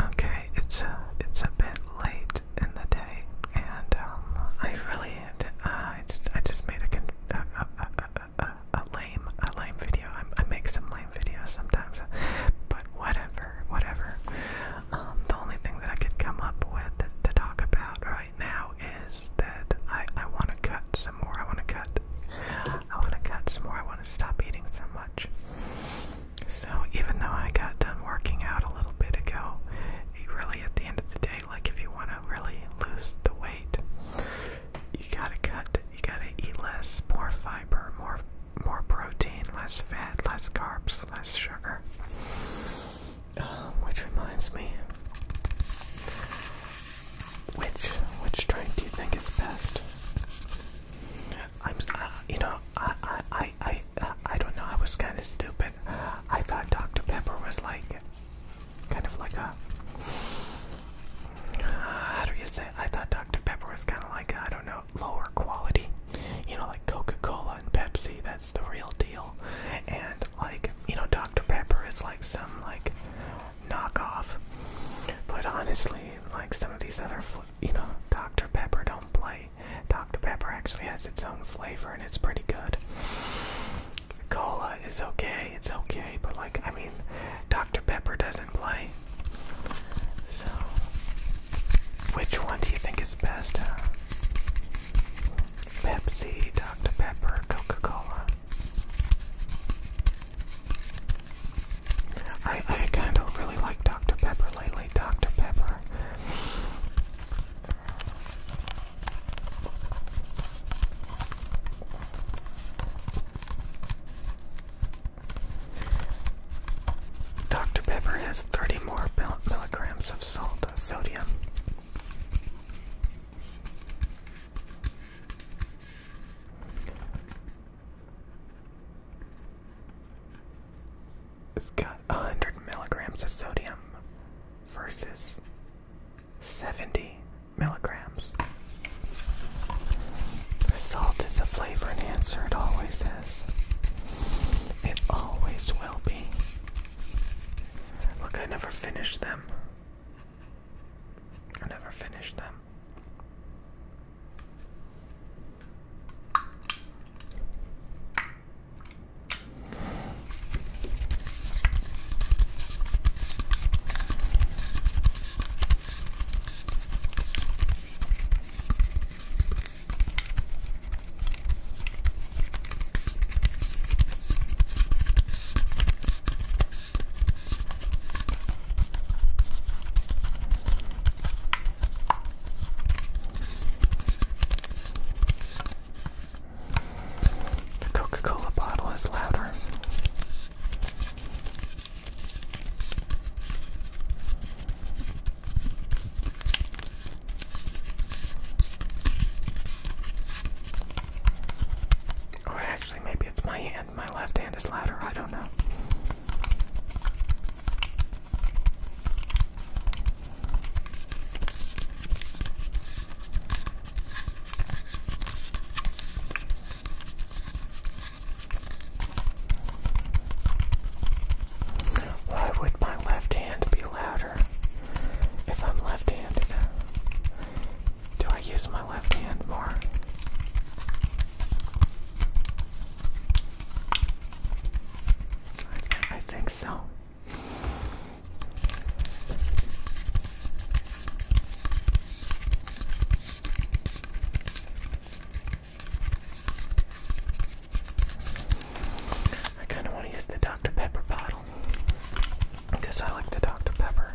Okay, it's a, uh, it's a bit late in the day, and um, I really, uh, I just, I just made a, lame, a lame video. I, make some lame videos sometimes, but whatever, whatever. Um, the only thing that I could come up with to, to talk about right now is that I, I want to cut some more. I want to cut. I want to cut some more. I want to stop eating so much. So, even though I got done working out a little bit ago, really at the end of the day, like if you want to really lose the weight, you gotta cut. You gotta eat less, more fiber, more more protein, less fat, less carbs, less sugar. Um, which reminds me, which which drink do you think is best? I'm, uh, you know, I, I, I, I, I don't know. I was kind of stupid. I thought Dr. Pepper was like, kind of like a, how do you say? I thought Dr. Pepper was kind of like I don't know, lower quality. You know, like Coca-Cola and Pepsi. That's the real deal. And like, you know, Dr. Pepper is like some like knockoff. But honestly, like some of these other, you know, Dr. Pepper don't play. Dr. Pepper actually has its own flavor and it's pretty good. Coca Cola is okay, it's okay, but like, I mean, Dr. Pepper doesn't play. So, which one do you think is best? Pepsi, Dr. Pepper, Coca Cola. I, kind of really like Dr. Pepper lately. Dr. Pepper. Dr. Pepper has 30 more milligrams of salt, uh, sodium. It's got 100 milligrams of sodium versus 70 milligrams. Salt is a flavor enhancer, it always is. It always will be. Look, I never finished them. I never finished them. The Coca Cola bottle is louder. Or actually, maybe it's my hand, my left hand is louder, I don't know. Why would my left hand be louder if I'm left handed? Do I use my left hand more? I think so. I kind of want to use the Dr. Pepper bottle because I like the Dr. Pepper.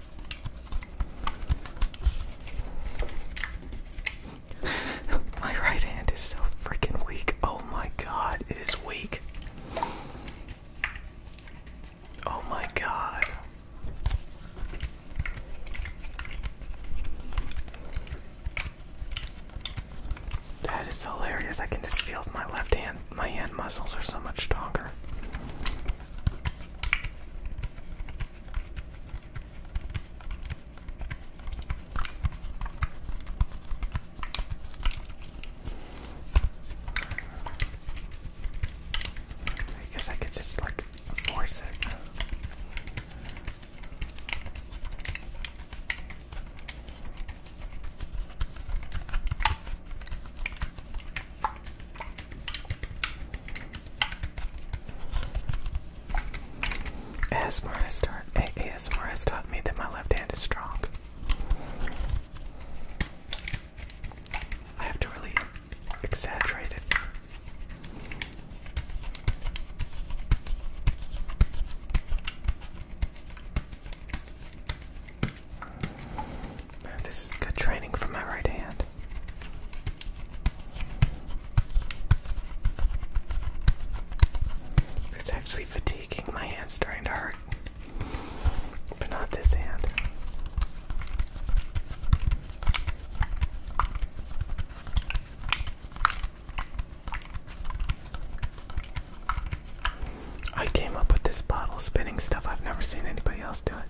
my right hand is so freaking weak. Oh my god, it is weak. Oh my god. That is hilarious. I can just feel my left hand, my hand muscles are so much stronger. I guess I could just like force it. As Morris taught, taught me that my left hand is strong. I have to really exaggerate it. This is good training for my right hand. It's actually fatiguing. My hand's starting to hurt, but not this hand. I came up with this bottle spinning stuff. I've never seen anybody else do it.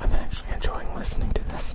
I'm actually enjoying listening to this.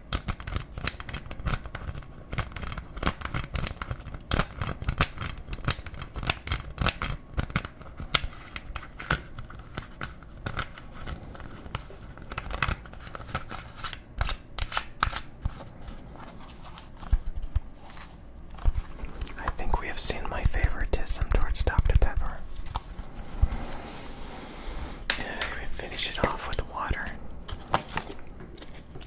I think we have seen my favoritism towards Dr. Pepper. And we finish it off with water.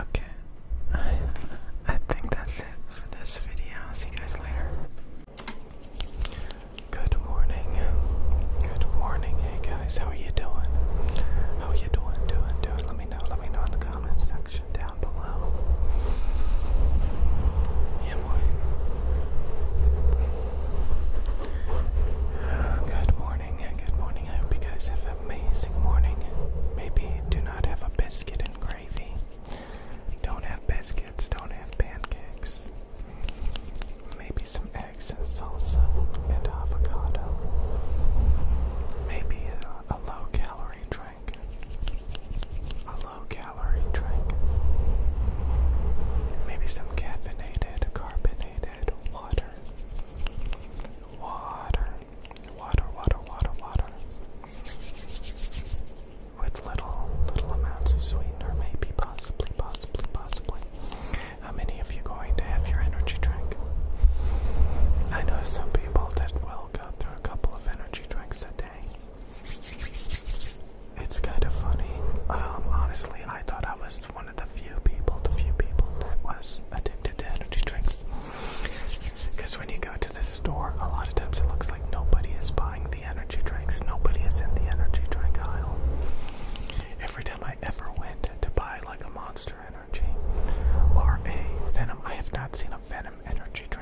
Okay, I, I think that's it for this video. see you guys later. Good morning. Good morning. Hey guys, how are you doing? How are you doing? Doing? Doing? Let me know. Let me know in the comments section down Good morning, good morning. I hope you guys have amazing morning. Maybe do not have a biscuit and gravy. Don't have biscuits, don't have pancakes. Maybe some eggs and salsa and avocado. Maybe a low calorie drink a low calorie drink, maybe some caffeinated, carbonated water. Water, water, water, water, water. With little, little amounts of sweetener, maybe, possibly, possibly, possibly. How many of you going to have your energy drink? I know some people that will go through a couple of energy drinks a day. It's kind of funny. Um, honestly, I thought I was one of the few people, the few people that was addicted to energy drinks. Because when you go to the store, a lot of times it looks like nobody is buying the energy drinks. Nobody is in the energy drink aisle. Every time I ever went to buy like a Monster Energy or a Venom, I have not seen a Venom energy drink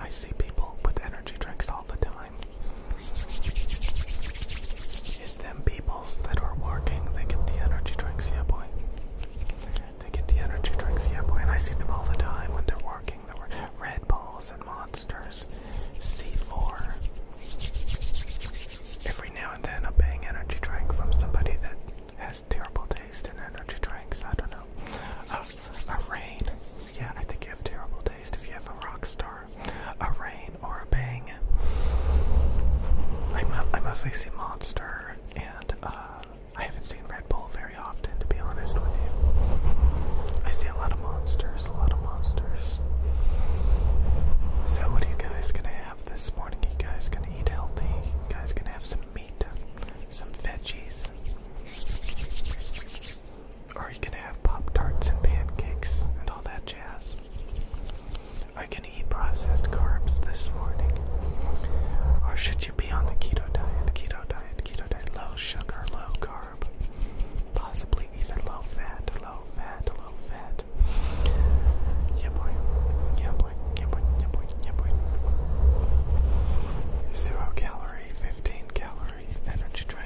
I see people with energy drinks all the time. It's them peoples that are working, they get the energy drinks, yeah boy. They get the energy drinks, yeah boy, and I see them all the time when they're working. There were Red Balls and Monsters, C4. Every now and then a bang energy drink from somebody that has terrible taste in energy drinks, I don't know. Uh, a rain. Yeah, I think you have terrible taste if you have a rock star. A rain or a bang. I, mostly see Monster, and uh, I haven't seen Red Bull very often, to be honest with you. I see a lot of monsters, a lot of monsters. So, what are you guys gonna have this morning? you guys gonna eat healthy? guys gonna have some meat, some veggies? Or you can have Pop Tarts and pancakes and all that jazz. I can eat processed carbs this morning. Or should you be on the keto diet? Keto diet, keto diet, low sugar, low carb, possibly even low fat, low fat, low fat. Yeah, boy. Yeah, boy. Yeah, boy. Yeah, boy. Yeah, boy. Zero calorie, 15 calorie energy drink.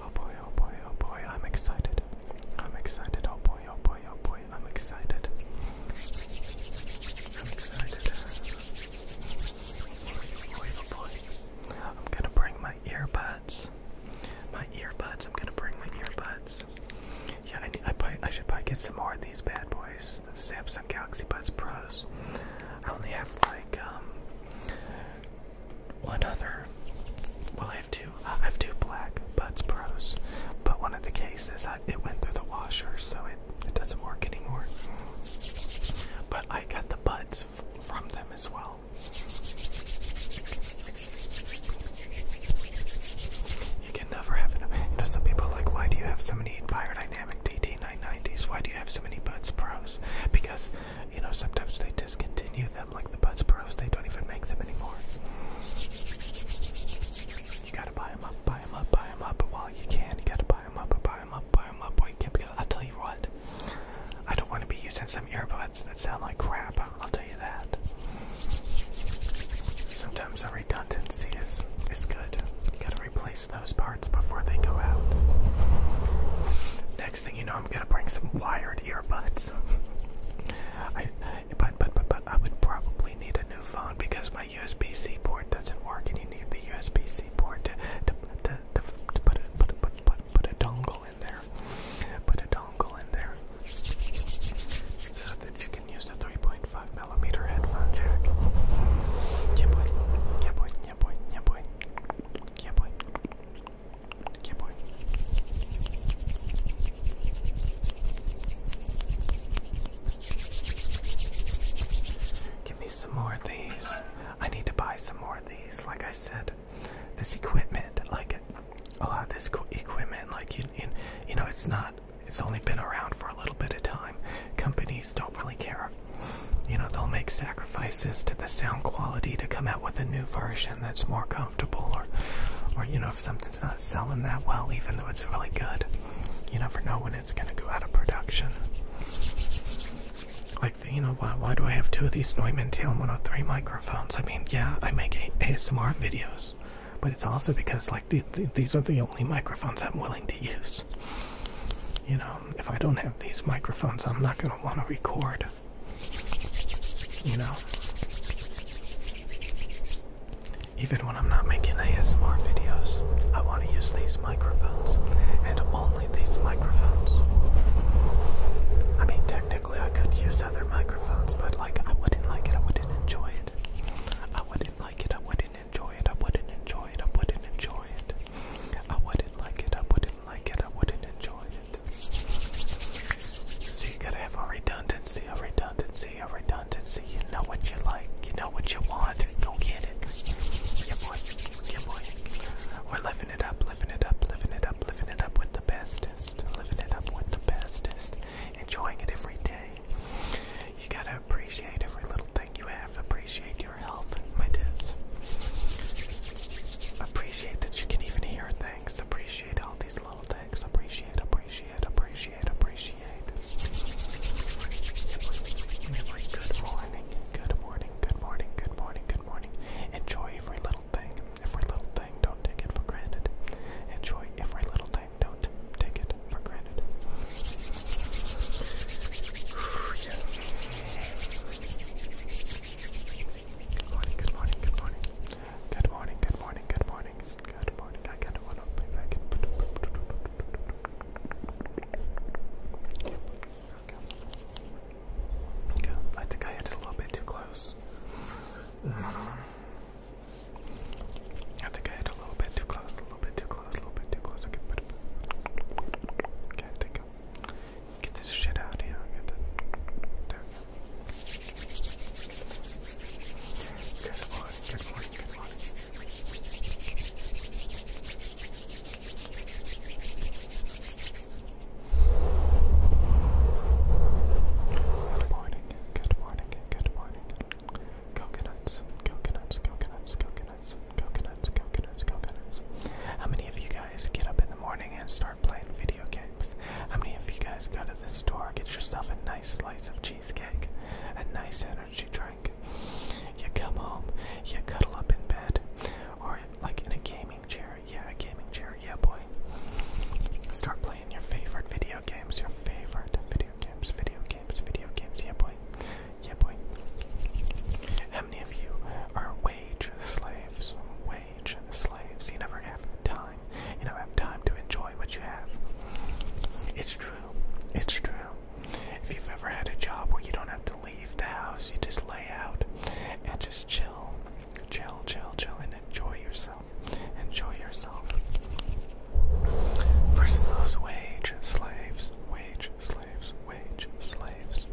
Oh boy, oh boy, oh boy, I'm excited. I'm excited, oh boy, oh boy, oh boy, I'm excited. I'm excited. Oh boy, oh boy. I'm gonna bring my earbuds. My earbuds, I'm gonna bring my earbuds. Yeah, I, need, I, probably, I should probably get some more of these bad boys, the Samsung Galaxy Buds Pros. I only have like, um, one other, well, I have two. I have two black Buds Pros, but one of the cases I, it went through the washer, so it it doesn't work anymore. But I got the buds from them as well. You can never have enough. You know, some people like, why do you have so many Biodynamic DT990s? Why do you have so many Buds Pros? Because you know, sometimes they discontinue them, like the Buds Pros, they don't even make them anymore. You gotta buy them up, buy them up, buy them up while you can. You gotta buy them up, buy them up, buy them up while you can. Because I'll tell you what, I don't want to be using some earbuds that sound like crap. I'll tell you that. Sometimes the redundancy is is good replace those parts before they go out. Next thing you know, I'm gonna bring some wired earbuds. I, but, but, but, but I would probably need a new phone because my USB-C port doesn't work, and you need the USB-C port to, to, to, to, put, a, put, a, put, a, dongle in there. Put a dongle in there so that you can use the 3.5 millimeter headphone jack. Yeah boy, yeah boy, yeah, boy. Yeah, boy. Give me some more of these. I need to buy some more of these. Like I said, this equipment, like a lot of this equipment, like you, you, you know, it's not. It's only been around for a little bit of time. Companies don't really care you know, they'll make sacrifices to the sound quality to come out with a new version that's more comfortable, or, or you know, if something's not selling that well, even though it's really good, you never know when it's going to go out of production. Like, you know, why, why do I have two of these Neumann TLM-103 microphones? I mean, yeah, I make ASMR videos, but it's also because, like, the, these are the only microphones I'm willing to use. You know, um, if I don't have these microphones, I'm not going to want to record. You know? Even when I'm not making ASMR videos, I want to use these microphones and only these microphones. I mean, technically, I could use other microphones, but like, I wouldn't like it, I wouldn't enjoy it. I wouldn't like it, I wouldn't enjoy it, I wouldn't enjoy it, I wouldn't enjoy it. I wouldn't like it, I wouldn't like it, I wouldn't enjoy it. So you gotta have a redundancy, a redundancy, a redundancy. You know what you like, you know what you want, go get it. Yeah boy, yeah boy. We're living it up, living it up, living it up, living it up with the bestest. Living it up with the bestest. Enjoying it every day. You gotta appreciate every little thing everything you have. Appreciate your health, my dudes. Appreciate that you can even hear things. Appreciate all these little things. Appreciate, appreciate, appreciate, appreciate. Good morning, good morning, good morning, good morning, good morning. Enjoy every little thing, every little thing. Don't take it for granted. Enjoy every little thing. Don't take it for granted. Good morning, good morning, good morning. Good morning, good morning, good morning. Good morning. I kinda wanna play back and okay. okay. I think I hit it a little bit too close. I think I hit a little bit too close, a little bit too close, a little bit too close. Okay, okay, I think Get this shit out of here. Good one, good one, good one. Good morning, good morning, good morning. Coconuts, coconuts, coconuts, coconuts coconuts, coconuts, coconuts, How many of you guys get up in the morning and start playing video games? How many of you guys go to the store, get yourself a nice slice of cheesecake, a nice energy drink? You come home, you cuddle up in bed, or like in a gaming chair, yeah, a gaming chair, yeah, boy. Start playing your favorite video games, your favorite video games, video games, video games, yeah, boy. Yeah, boy. How many of you are wage slaves? Wage slaves. You never have time. You never have time to enjoy what you have. It's true. It's true. If you've ever had a job where you don't have to leave the house, you just lay out and just chill. Chill, chill, chill, and enjoy yourself. Enjoy yourself. Versus those wage slaves. Wage slaves, wage slaves,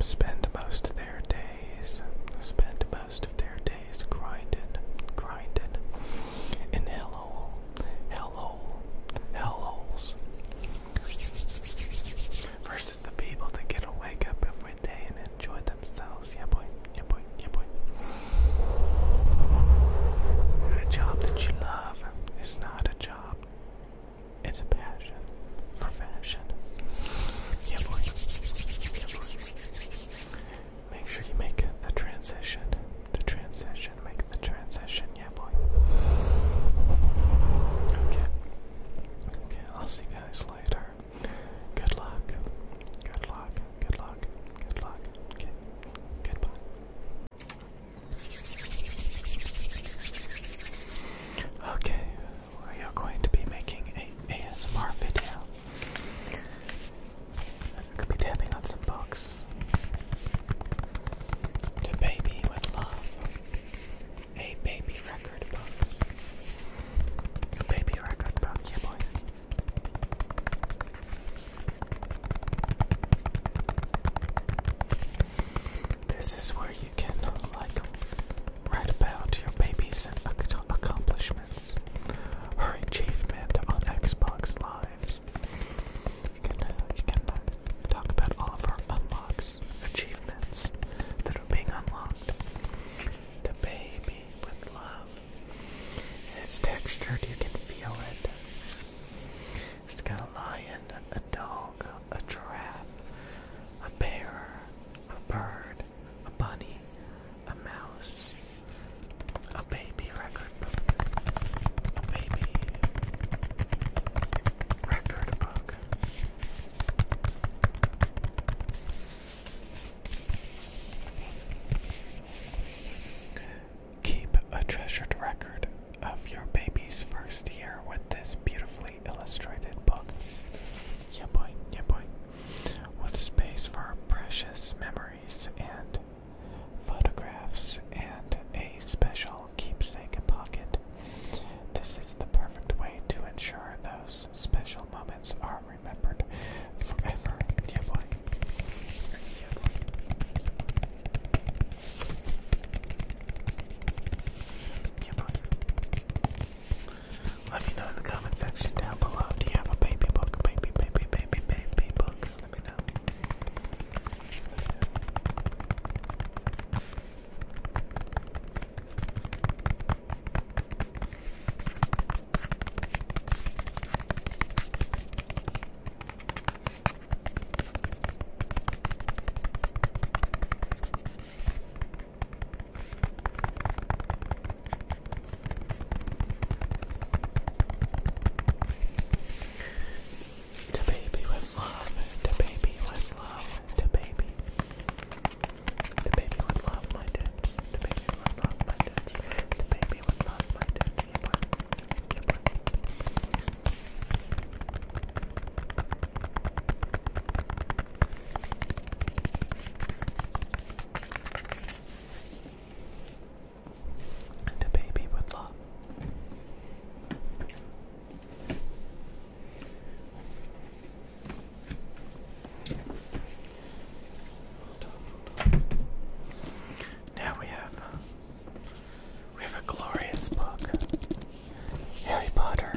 spend most of their days, spend most of their days grinding, grinding in hellhole, hellhole, hellholes. Versus the people that get to wake up every day and enjoy themselves. Yeah, boy. Yeah, boy. Yeah, boy. A job that you love is not a job it's a passion for fashion. Yeah, boy. Yeah, boy. Make sure you make the transition. The transition. Make the transition. Yeah, boy. Okay. Okay, I'll see you guys later. Good luck. Good luck. Good luck. Good luck. Okay. Goodbye. Okay, we are going to be making a ASMR video. I could be tapping on some books. To Baby with Love. A baby record book. A baby record book, yeah boy. This is where you can like write about your babies and ac accomplishments, her achievement on Xbox Live. You can uh, you can uh, talk about all of our unlocks, achievements that are being unlocked. The baby with love. It's textured. You can feel it. It's got a lion, a dog, a giraffe, a bear, a bird, a bunny, a mouse, a baby record book, a baby record book. Keep a treasured record of your baby's first year with this beautifully illustrated book. Yeah, boy, yeah, boy. With space for precious memories and photographs and a special keepsake pocket. This is the perfect way to ensure those special moments are remembered forever. Yeah, boy. Yeah, boy. Let me know in the comment section down below. Do you have a baby book? Baby, baby, baby, baby book. Let me know. To baby with love, to baby with love, to baby. To baby with love, my dudes. To baby with love, my dudes. To baby with love, my dudes. And a baby with love. Now we have we have a glorious book Harry Potter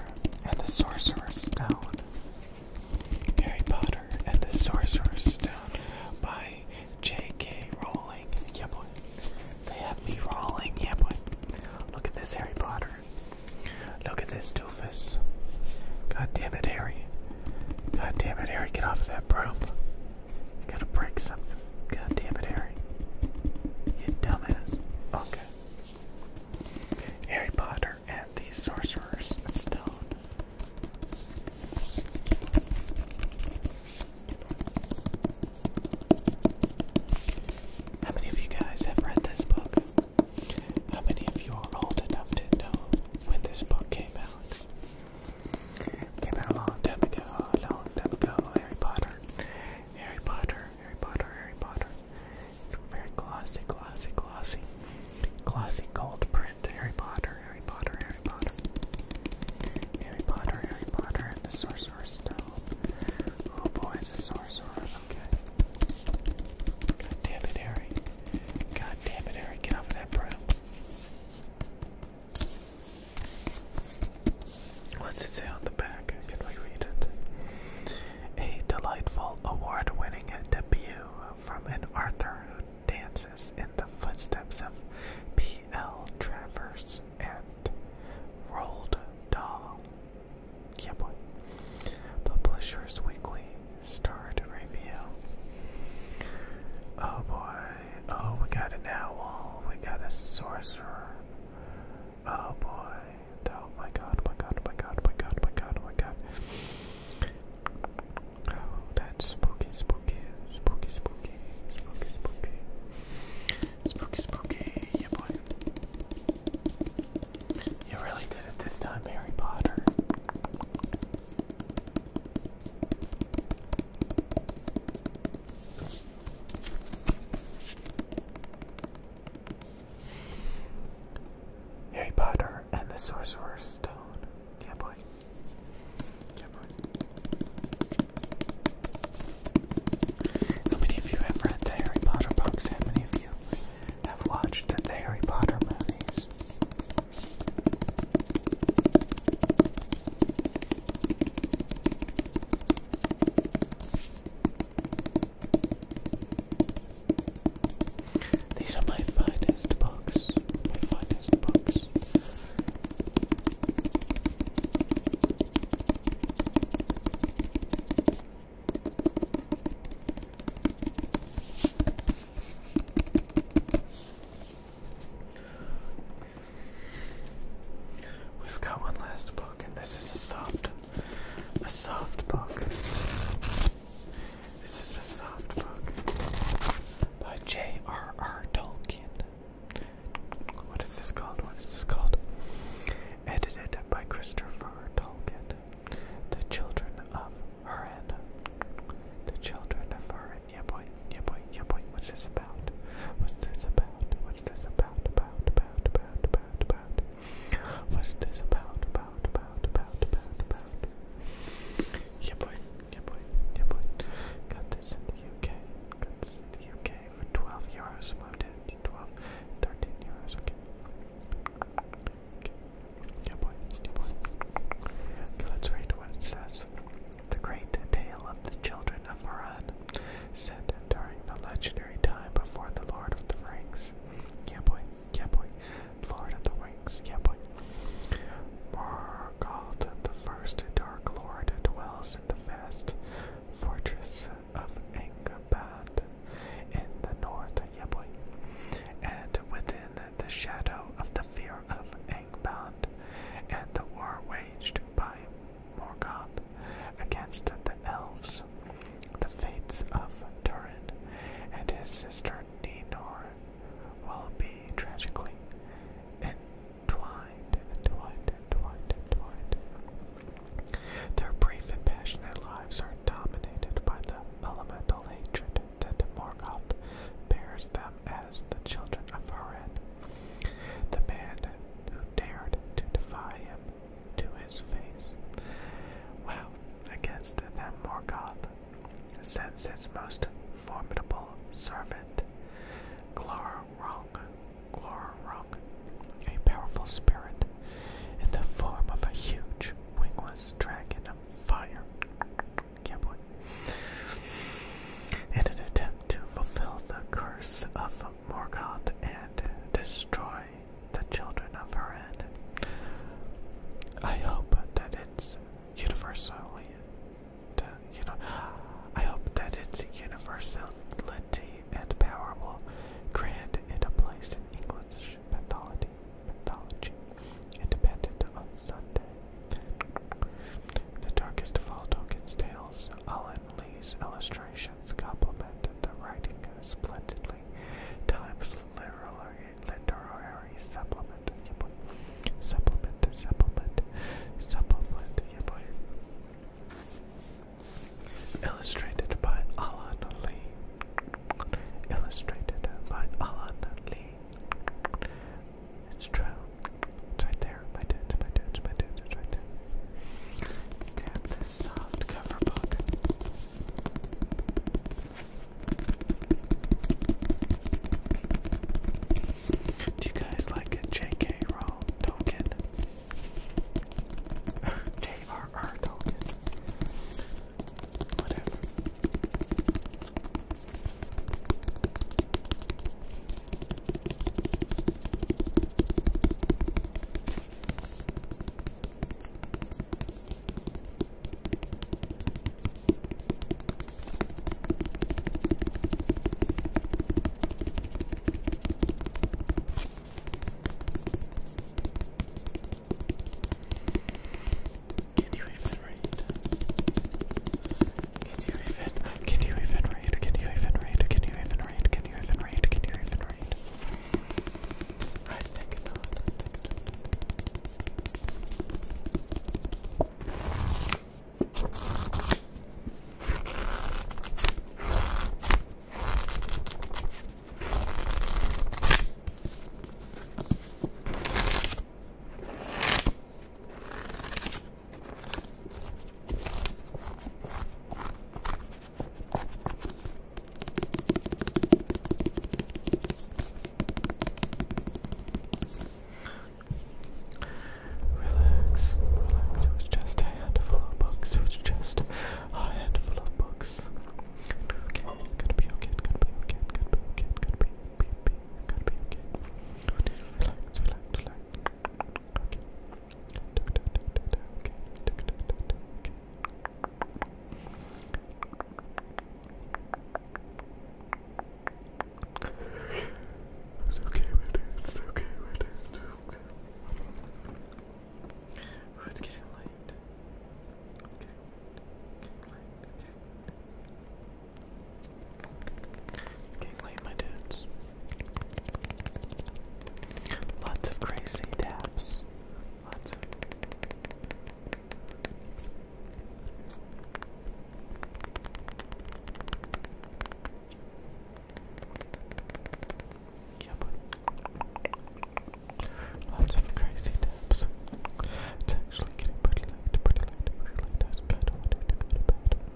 and the Sorcerer's Stone. Harry Potter and the Sorcerer's Stone by J.K. Rowling. Yeah, boy. They have me rolling. Yeah, boy. Look at this, Harry Potter. Look at this doofus. God damn it, Harry. God damn it, Harry. Get off of that broom. You gotta break something. God damn it, Harry. You dumbass. Okay. Harry Potter and the Sorcerer's Stone. How many of you guys have read this book? How many of you are old enough to know when this book came out? Came a long time ago, a long time ago. Harry Potter, Harry Potter, Harry Potter, Harry Potter. It's very glossy, glossy, glossy, glossy gold print. Harry Potter, Harry Potter, Harry Potter, Harry Potter, Harry Potter, and the Sorcerer's Stone. Oh boy, it's a sorcerer. Okay. God damn it, Harry. God damn it, Harry. Get off that broom. What's it say on the back? Can we read it? A delightful award winning debut from an Arthur who dances in the footsteps of P.L. Travers and Roald Dahl. Yeah, boy. Publishers Weekly starred review. Oh boy, Oh, we got an owl. We got a sorcerer. Oh boy. Oh my god, my god, my god, my god, my god, my god. Oh, that's spooky, spooky, spooky, spooky, spooky, spooky. Spooky, spooky, yeah boy. You really did it this time, Harry Potter. Harry Potter and the Sorcerer's Stone. Yeah, boy. Yeah, boy. How many of you have read the Harry Potter books? How many of you have watched the Harry Potter movies? These are my finest books. My finest books. We've got one last book, and this is a soft, a soft book. This is a soft book by J.R.R. Tolkien. What is this called? What is this called? Edited by Christopher Tolkien. The Children of Harren. The Children of Harren. Yeah, boy. Yeah, boy. Yeah, boy. What's this? about? What's this about? What's this about? About, about, about, about, about. What's this about? About, about, about, about, about. Yeah, boy. Yeah, boy. Yeah, boy. Got this in the UK. Got this in the UK for 12 euros. Moved it. 12, 13 euros. Okay. Okay. Yeah, boy. Yeah, boy. Okay, let's read what it says. The Great Tale of the Children of Haran set during the legendary time before the Lord of the Franks, Yeah, boy. Yeah, boy. Lord of the Rings. Yeah, boy. Morgoth, the first Dark Lord, dwells in the vast fortress of Angband in the north. Yeah, boy. And within the shadow of the fear of Angband and the war waged by Morgoth against the elves, the fates of Turin and his sister Ninor will be tragically entwined, entwined. Their brief and passionate lives are dominated by the elemental hatred that Morgoth bears them as the children of Hurin. The man who dared to defy him to his face. Well, against them Morgoth sends his most formidable servant, Glorung, Glorung, a powerful spirit in the form of a huge wingless dragon of fire. Yeah, In an attempt to fulfill the curse of Morgoth and destroy the children of Haran. I hope that it's universally, I hope that its universality and power will grant it a place in English mythology, mythology independent on Sunday. The darkest of all Tolkien's tales, Lee's illustrations complemented the writing splendidly. Time's literary, supplement, Supplement, supplement, supplement, Illustrated by Alan Lee. Illustrated by Alan Lee. It's true. It's right there. My dad's, my dad's, my dad's, it's right there. Grab this soft cover book. Do you guys like a J.K. Rowling token? J.R.R. token? Whatever. Can you even read? Can you even, can you even read? Can you even read? Can you even read? Can you even read? Can you even read? I think not. Relax, relax, it was just a handful of books, it was just a handful of books. Okay, gonna be okay, gonna be okay, gonna be okay, gonna be, be, be, gonna be okay. Relax, relax, relax. It's okay, with it. It's okay, with it. It's okay. Oh, it's getting late. It's getting late. Getting late. Getting late. It's getting late, my dudes. Lots of crazy taps. Lots of crazy taps. actually getting pretty late, pretty late, pretty late. I kind of wanted to go to bed.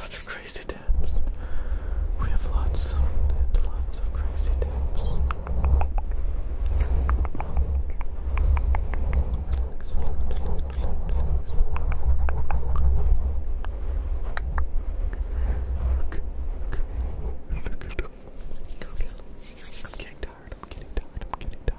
Other crazy taps. We have lots, lots of crazy taps. I'm getting tired. I'm getting tired. I'm getting tired.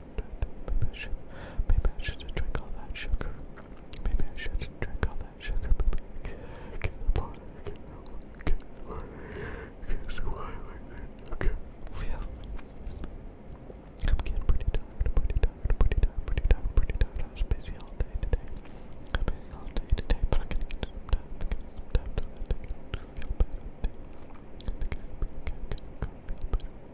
Maybe I should, maybe drink all that sugar. Maybe I should drink all that sugar. Maybe I can't afford it. Can't afford Okay. I'm getting pretty tired, pretty tired, pretty tired, pretty tired, pretty tired. I was busy all day today. i busy all day today, but I'm gonna get some time to feel better. I think I think I think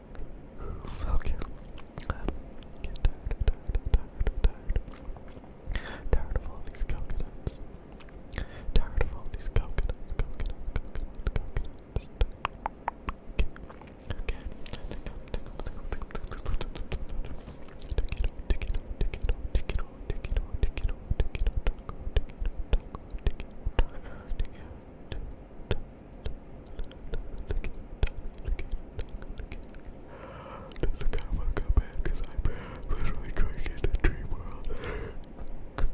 Fuck you. i tired, tired, tired, tired. Tired of all these coconuts. Tired of all these coconuts, Look how I got back because I'm literally going into dream world. Good,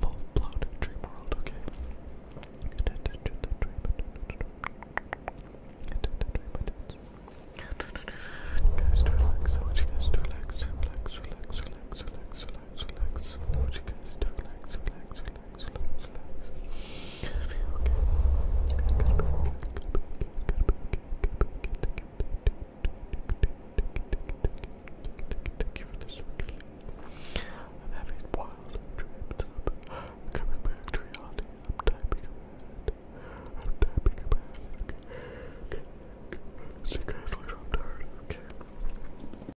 full blown dream world, okay. Guys, relax. I want you guys to relax, relax, relax, relax, relax, relax, relax. I want you guys to relax, relax, relax. Thank you for this. I'm having wild dreams. coming back to reality. I'm typing I'm typing about See you guys later.